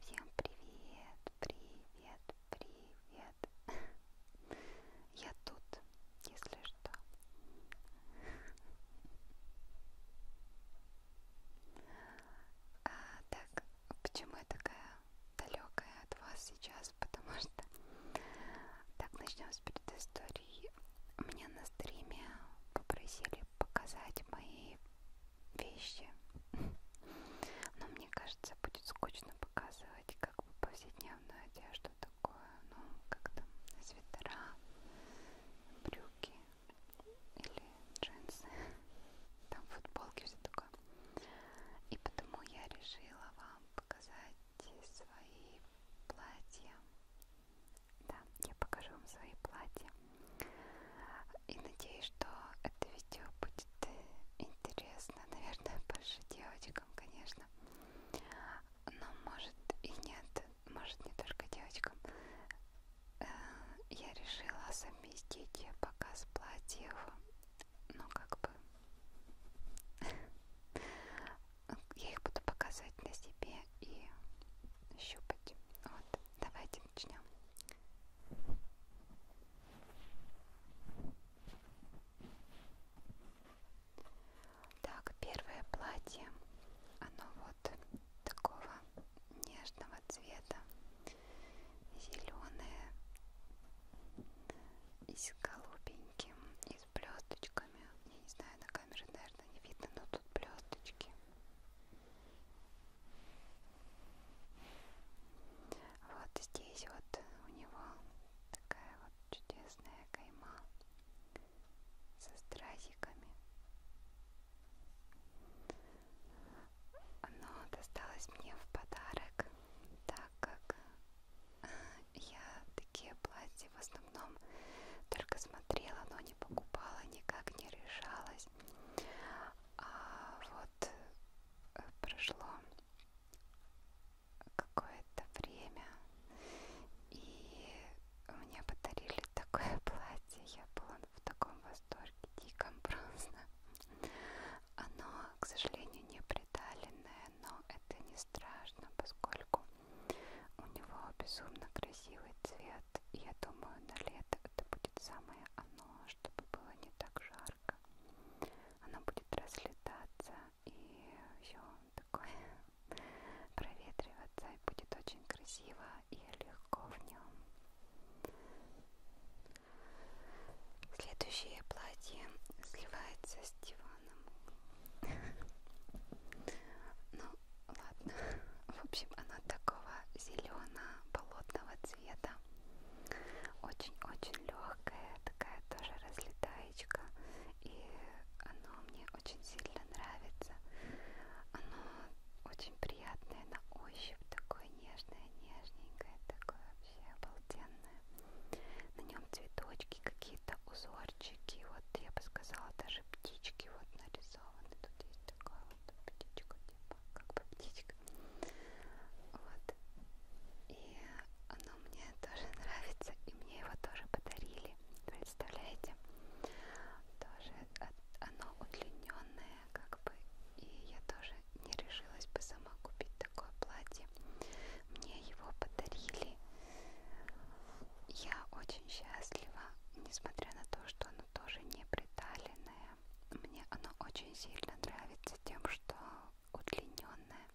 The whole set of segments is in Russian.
Всем привет, привет, привет. Я тут, если что. А, так, почему я такая далекая от вас сейчас, потому что... Так, начнем с предыстории. Мне на стриме попросили показать мои вещи. Но мне кажется, будет скучно показывать как бы повседневную одежду такое, ну, как там, свитера, брюки или джинсы. Там футболки, все такое много. И потому я решила вам показать свои платья. Да, я покажу вам свои платья. И надеюсь, что это видео будет э, интересно, наверное, больше девочкам, конечно. Но может и нет, может не только девочкам. Э, я решила совместить показ платьев ну как бы я их буду показывать на себе и щупать. Вот, давайте начнем. Так, первое платье, оно вот такого нежного цвета зеленые и с голубеньким, и с блесточками. Я не знаю, на камере, наверное, не видно, но тут блесточки. Вот здесь вот у него такая вот чудесная кайма со стразиками. Оно досталось мне в подарок, так как э, я такие платья в основном только смотрела, но не покупала, никак не решалась. А вот э, прошло какое-то время, и мне подарили такое платье. Я была в таком восторге, диком просто. Оно, к сожалению, не приталенное, но это не страшно, поскольку у него безумно красивый цвет. И я думаю, на лето это будет самое оно, чтобы было не так жарко. Оно будет разлетаться и все такое проветриваться и будет очень красиво и легко в нем Следующее платье сливается с диваном. Ну, ладно. В общем, она такого зелено-болотного цвета. Очень-очень легкая, такая тоже разлетаечка. И оно мне очень сильно нравится. Оно очень приятное на ощупь, такое нежное, нежненькое, такое вообще обалденное. На нем цветочки, какие-то узорчики, вот я бы сказала, даже птички вот нарисованы. Тут есть такая вот птичка, типа, как бы птичка. Вот. И оно мне тоже нравится, и мне его тоже подарили. Представляете? Тоже оно удлиненное как бы, и я тоже не решилась бы сама купить такое платье. Мне его подарили. Я очень счастлива, несмотря на то, что оно тоже не приталенное. Мне оно очень сильно нравится тем, что удлиненное.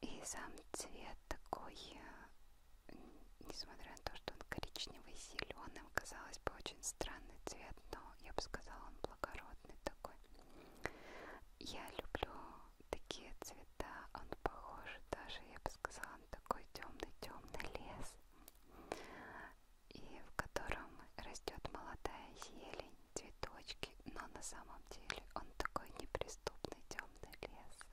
И сам цвет такой, несмотря на то, что он коричневый с зеленым, казалось бы, очень странный цвет, но я бы сказала, он благородный такой. Я люблю такие цвета, он похож даже, я бы сказала, на такой темный-темный лес, и в котором растет молодая зелень, цветочки, но на самом деле он такой неприступный темный лес.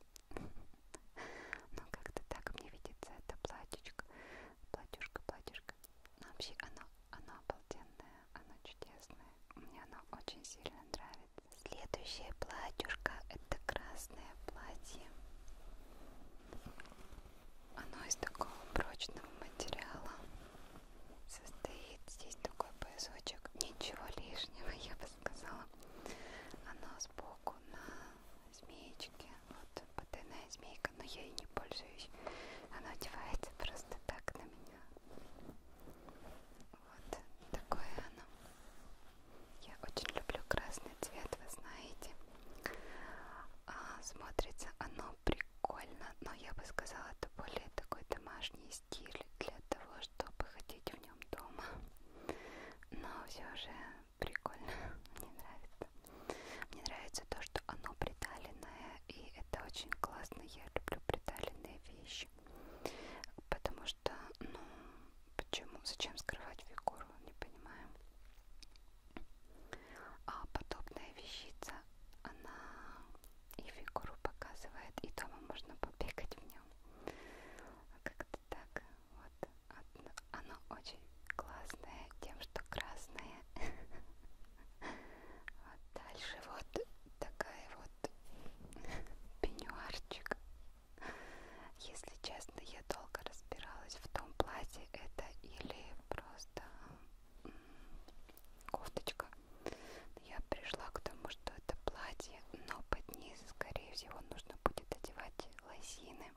Но как-то так мне видится это платьечко платьюшка, платьюшка. Но ну, вообще оно, оно обалденное, оно чудесное. Мне оно очень сильно нравится. Следующее платьюшко это красное платье. Оно из такого прочного материала. Состоит здесь такой поясочек. Ничего лишнего, я бы сказала. Оно сбоку на змеечки, вот потайная змейка, но я ей не пользуюсь, она одевается просто так на меня. Вот такое оно. Я очень люблю красный цвет, вы знаете. А, смотрится оно прикольно, но я бы сказала, это более такой домашний стиль для того, чтобы ходить в нем дома. Но все же прикольно, мне нравится. Мне нравится то, что оно приталенное, и это очень классно. Я люблю приталенные вещи, потому что, ну, почему, зачем скрывать фигуру, не понимаю. А подобная вещица, она и фигуру показывает, и дома можно побегать в нем. Как-то так, вот оно очень классное тем, что красное. Вот а дальше вот такая вот пеньюарчик. Если честно, я долго разбиралась в том платье, это или просто кофточка. Я пришла к тому, что это платье, но под низ, скорее всего, нужно будет одевать лосины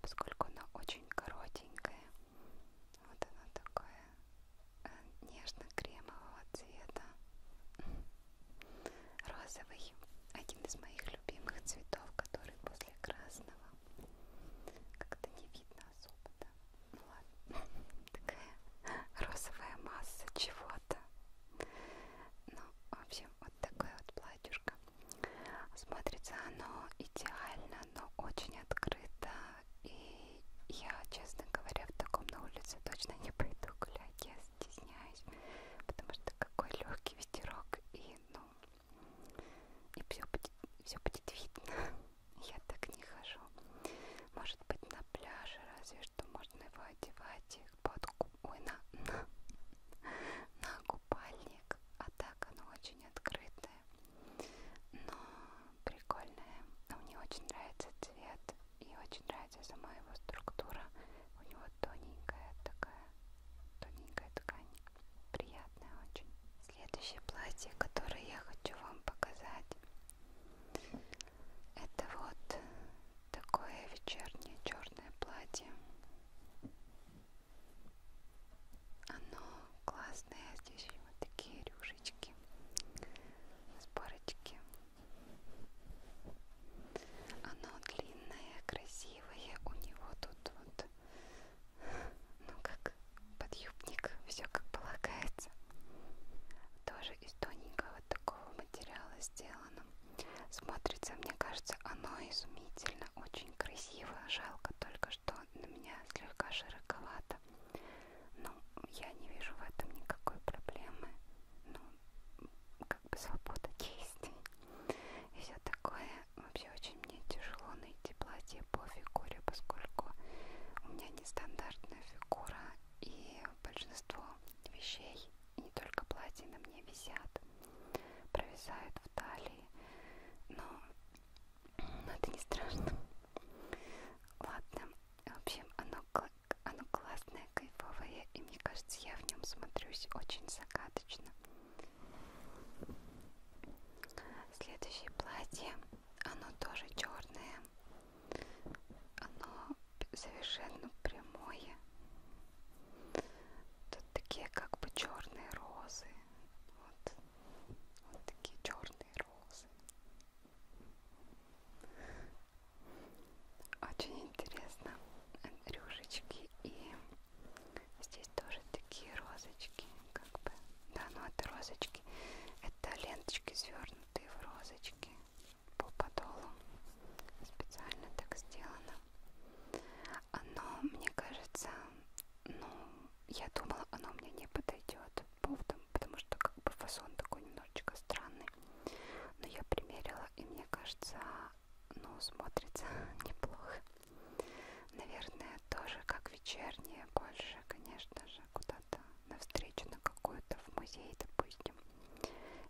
поскольку она очень коротенькая. Вот она такая э, нежно-кремового цвета. Розовый. Один из моих любимых цветов, который после красного. Как-то не видно особо, да? Ну ладно. Такая розовая масса чего-то. Ну, в общем, вот такое вот платьюшко. Смотрится оно идеально, но очень открыто. И я, честно говоря, в таком на улице точно не пойду гулять. Я стесняюсь, потому что какой легкий ветерок и ну и все будет, все будет видно. Я так не хожу. Может быть на пляже, разве что можно его одевать под ой, на, на, на купальник, а так оно очень открытое, но прикольное. Мне очень нравится цвет и очень нравится сама его структура. У него тоненькая такая, тоненькая ткань, приятная очень. Следующее платье, которое я хочу вам показать, это вот такое вечернее черное платье. Оно классное, здесь вот такие рюшечки с парочки. Оно длинное, красивое, у него тут вот, ну как подъюбник, все как полагается. Тоже из тоненького вот такого материала сделано. Смотрится, мне кажется, оно изумительно, очень красиво красиво, жалко только, что на меня слегка широковато. Но ну, я не вижу в этом никакой проблемы. Ну, как бы свобода действий и все такое. Вообще очень мне тяжело найти платье по фигуре, поскольку у меня нестандартная фигура и большинство вещей, и не только платья на мне висят провисают в талии, но, но это не страшно. Ладно, в общем, оно, оно классное, кайфовое, и мне кажется, я в нем смотрюсь очень загадочно. Следующее платье, оно тоже черное, оно совершенно прямое, Тут такие как бы черные розы. Вот, вот такие черные розы. Очень интересно. Рюшечки и здесь тоже такие розочки, как бы. Да, ну это розочки. Это ленточки свернутые в розочки по подолу. Специально так сделано но мне кажется, ну, я думала, оно мне не подойдет поводом, потому что как бы фасон такой немножечко странный. Но я примерила, и мне кажется, ну, смотрится неплохо. Наверное, тоже как вечернее, больше, конечно же, куда-то навстречу на какую-то в музей, допустим,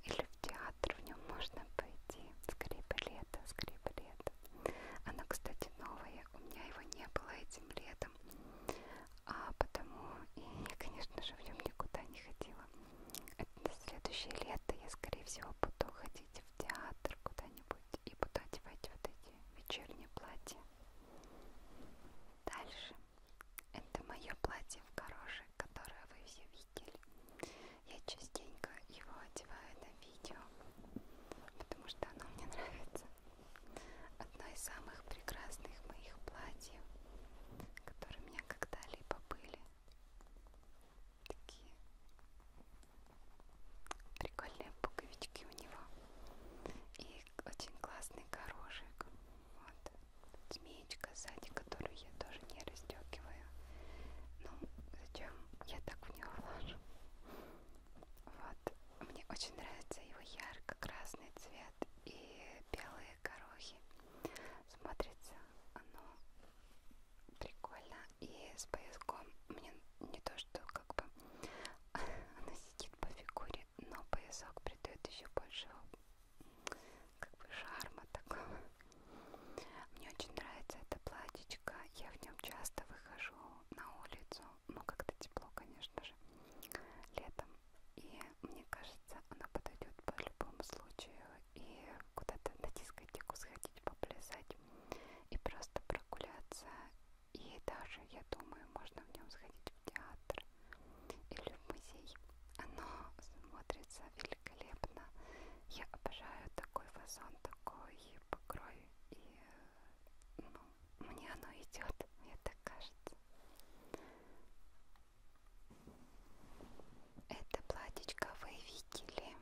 или в театр, в нем можно пойти. Скрипы лето, скрипы лето. Оно, кстати, новое, у меня его не было этим летом, а потому и я, конечно же, в нем никуда не ходила. Это следующее лето я, скорее всего, буду ходить в театр куда-нибудь и буду одевать вот эти вечерние платья. Дальше. Это мое платье в горошек, которое вы все видели стиль. Я частенько его одеваю на видео, потому что оно мне нравится. Одно из самых прекрасных моих платьев, которые у меня когда-либо были. Такие прикольные пуговички у него. И очень классный корожек. Вот. Змеечка сзади, которая землю я тоже не расстегиваю. Ну, зачем я так в нее вложу? Вот, мне очень нравится его ярко-красный цвет и белые горохи. Смотрится оно прикольно и с пояском мне не то, что как бы она сидит по фигуре, но поясок придает еще больше как бы шарма такого. Мне очень нравится это платьечко, я в нем часто выхожу на улицу, ну как-то тепло, конечно же, летом. И мне кажется, оно подойдет по любому случаю и куда-то на дискотеку сходить, поплясать и просто прогуляться. И даже, я думаю, можно в нем сходить в театр или в музей. Оно смотрится великолепно. Я обожаю такой фазон, такой покрой. И ну, мне оно идет, мне так кажется. Это платьечко вы видели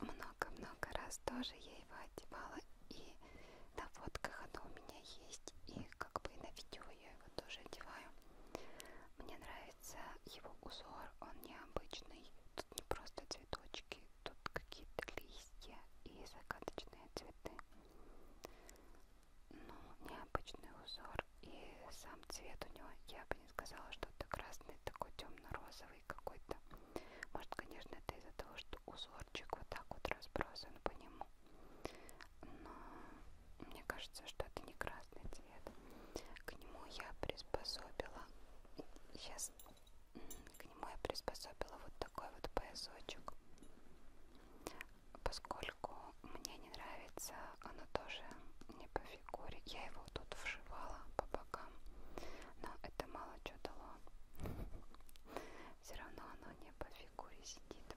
много-много раз. Тоже я его одевала. И на фотках оно у меня есть. И как бы на видео я его тоже одеваю. Мне нравится его узор, он необычный. Тут не просто цветочки, тут какие-то листья и загадочные цветы. Ну, необычный узор. И сам цвет у него, я бы не сказала, что это красный, такой темно-розовый какой-то. Может, конечно, это из-за того, что узорчик вот так вот разбросан по нему. Но мне кажется, что это не красный цвет. К нему я приспособила, сейчас к нему я приспособила вот такой вот поясочек, поскольку мне не нравится, оно тоже не по фигуре. Я его тут вшивала по бокам, но это мало что дало. Все равно оно не по фигуре сидит.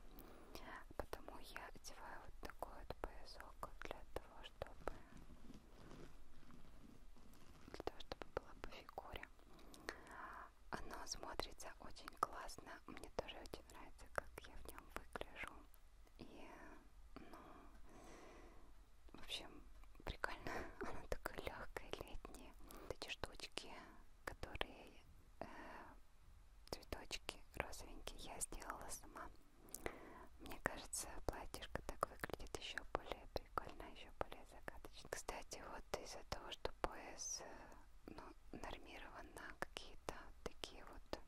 Потому я одеваю вот такой вот поясок для того, чтобы для того, чтобы было по фигуре. Оно смотрится очень классно. Мне тоже очень нравится, как я в нем выгляжу. И, ну, в общем, прикольно. Оно такое легкое, летнее. Эти штучки, которые э, цветочки розовенькие, я сделала сама. Мне кажется, платьишко так выглядит еще более прикольно, еще более загадочно. Кстати, вот из-за того, что пояс э, ну, нормирован на какие-то такие вот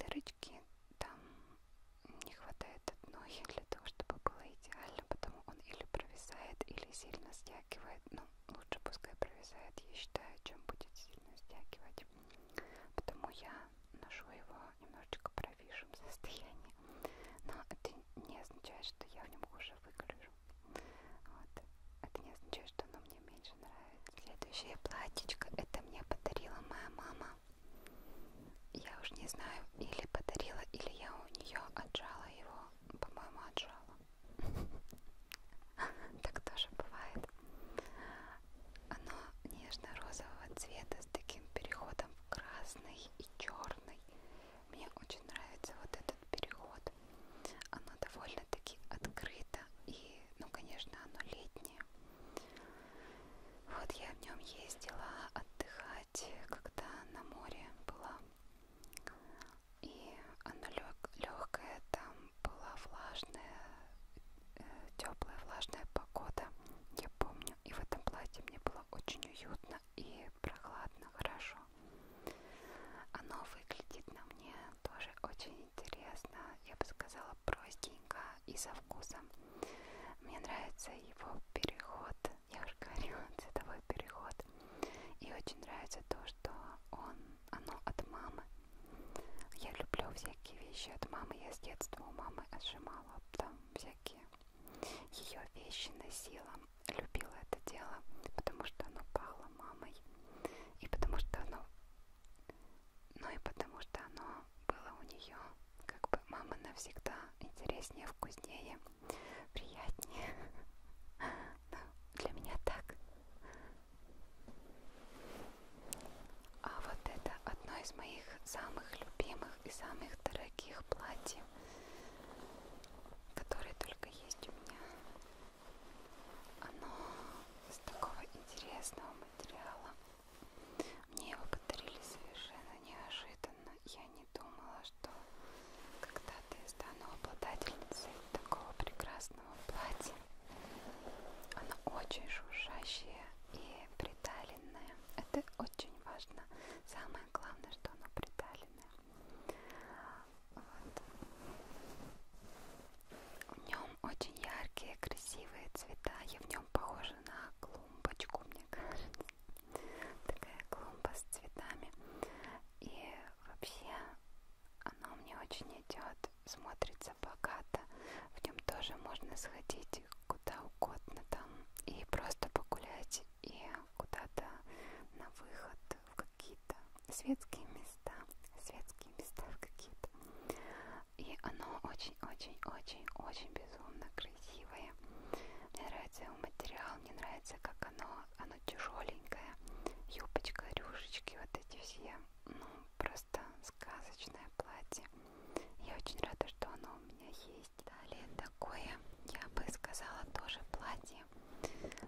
дырочки, там не хватает одной для того, чтобы было идеально, потому он или провисает, или сильно стягивает. Ну, лучше пускай провисает, я считаю, чем будет сильно стягивать. Потому я ношу его немножечко провисшем состоянии. Но это не означает, что я в нем хуже выгляжу. Вот. Это не означает, что оно мне меньше нравится. Следующее платьечко это мне подарила моя мама. Я уж не знаю, или подарила, или я у нее отжала его. По-моему, отжала. Так тоже бывает. Оно нежно-розового цвета с таким переходом в красный и черный. Мне очень нравится вот этот переход. Оно довольно-таки открыто и, ну, конечно, оно летнее. Вот я в нем ездила отдыхать, когда на море была. И оно легкое, там была влажная, э, теплая влажная погода, я помню. И в этом платье мне было очень уютно и прохладно, хорошо. Оно выглядит на мне тоже очень интересно, я бы сказала, простенько и со вкусом. Мне нравится его переход, я уже говорила, цветовой переход. И очень нравится то, что он, оно от мамы. Я люблю всякие вещи от мамы. Я с детства у мамы отжимала а там всякие ее вещи носила. Любила это дело, потому что оно пахло мамой. И потому что оно... Ну и потому что оно было у нее как бы мама навсегда интереснее, вкуснее, приятнее. Ну, для меня так. А вот это одно из моих самых любимых и самых дорогих платьев, которые только есть у меня. Оно из такого интересного материала. Мне его подарили совершенно неожиданно. Я не думала, что когда-то я стану обладательницей такого прекрасного красного платья. Оно очень шуршащее и приталенное. Это очень важно. Самое главное, что оно приталенное. Вот. В нем очень яркие, красивые цвета. Я в нем похожа на клумбочку, мне кажется. Такая клумба с цветами. И вообще оно мне очень идет смотрится богато. В нем тоже можно сходить куда угодно там и просто погулять и куда-то на выход в какие-то светские места, светские места в какие-то. И оно очень-очень-очень-очень безумно красивое. Мне нравится его материал, мне нравится, как оно, оно тяжеленькое. Юбочка, рюшечки, вот эти все. Ну, просто сказочное платье. Я очень рада, что оно у меня есть. Далее такое, я бы сказала, тоже платье,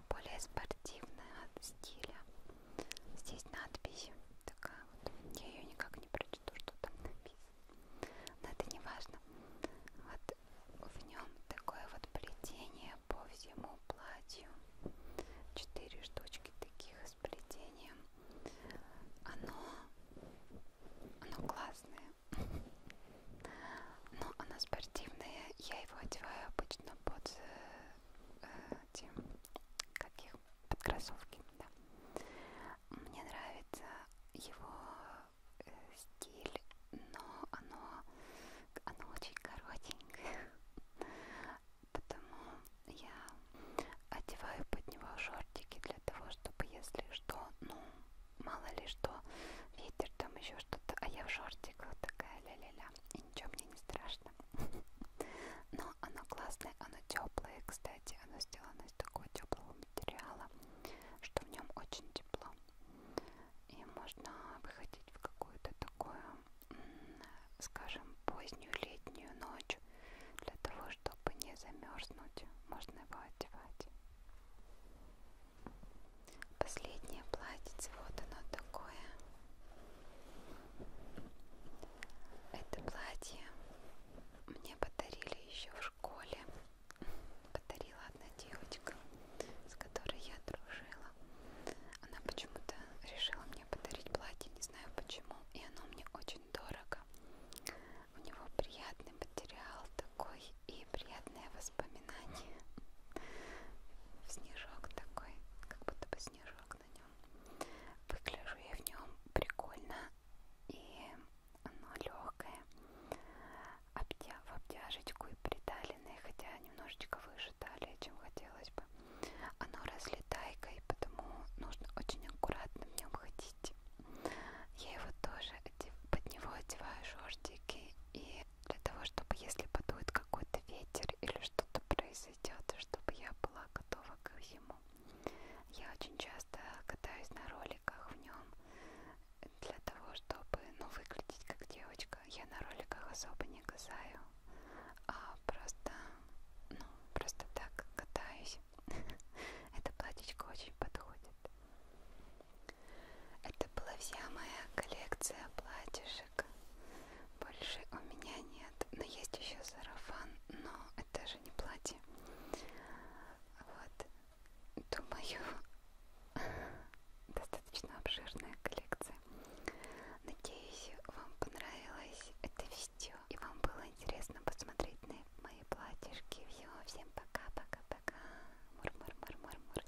более спортивное от стиля. Здесь надпись такая вот, я ее никак не прочту, что там написано. Но это не важно. Вот в нем такое вот плетение по всему платью. Четыре штучки таких распределением, оно, оно классное, но оно спортивное, я его одеваю обычно под э, тем, как их, под кроссовки, да. Мне нравится его э, стиль, но оно, оно очень коротенькое. Потому я одеваю под него шортики для того, чтобы если что, ну, мало ли что, ветер там еще что-то, а я в шортиках такая ля-ля-ля, и ничего мне не страшно. Но оно классное, оно теплое, кстати, оно сделано из такого теплого материала, что в нем очень тепло. И можно выходить в какую-то такую скажем, позднюю летнюю ночь, для того, чтобы не замерзнуть, можно его одевать. Последнее платьице, вот оно такое. Это платье мне подарили еще в школе. Подарила одна девочка, с которой я дружила. Она почему-то решила мне подарить платье, не знаю почему, и оно мне очень дорого. У него приятный материал такой и приятные воспоминания. Снежок такой, как будто бы снежок на нем. Выгляжу я в нем прикольно и оно легкое. Обтя в обтяжечку и приталенное, хотя немножечко выше талии, чем хотелось бы оно разлетайкой, потому нужно очень аккуратно в нем ходить. Я его тоже под него одеваю шортики и для того, чтобы если подует какой-то ветер или что-то произойдет, чтобы я была готова ко всему. Я очень часто катаюсь на роликах в нем для того, чтобы ну, выглядеть как девочка. Я на роликах особо не касаю а просто, ну, просто так катаюсь. Это платьечко очень подходит. Это была вся моя коллекция платьишек. Больше у меня нет. Но есть еще сарафан, но это же не платье. Вот. Думаю, достаточно обширная коллекция классы. Надеюсь, вам понравилось это видео и вам было интересно посмотреть на мои платьишки. Все, всем пока-пока-пока. Мур-мур-мур-мур-мур.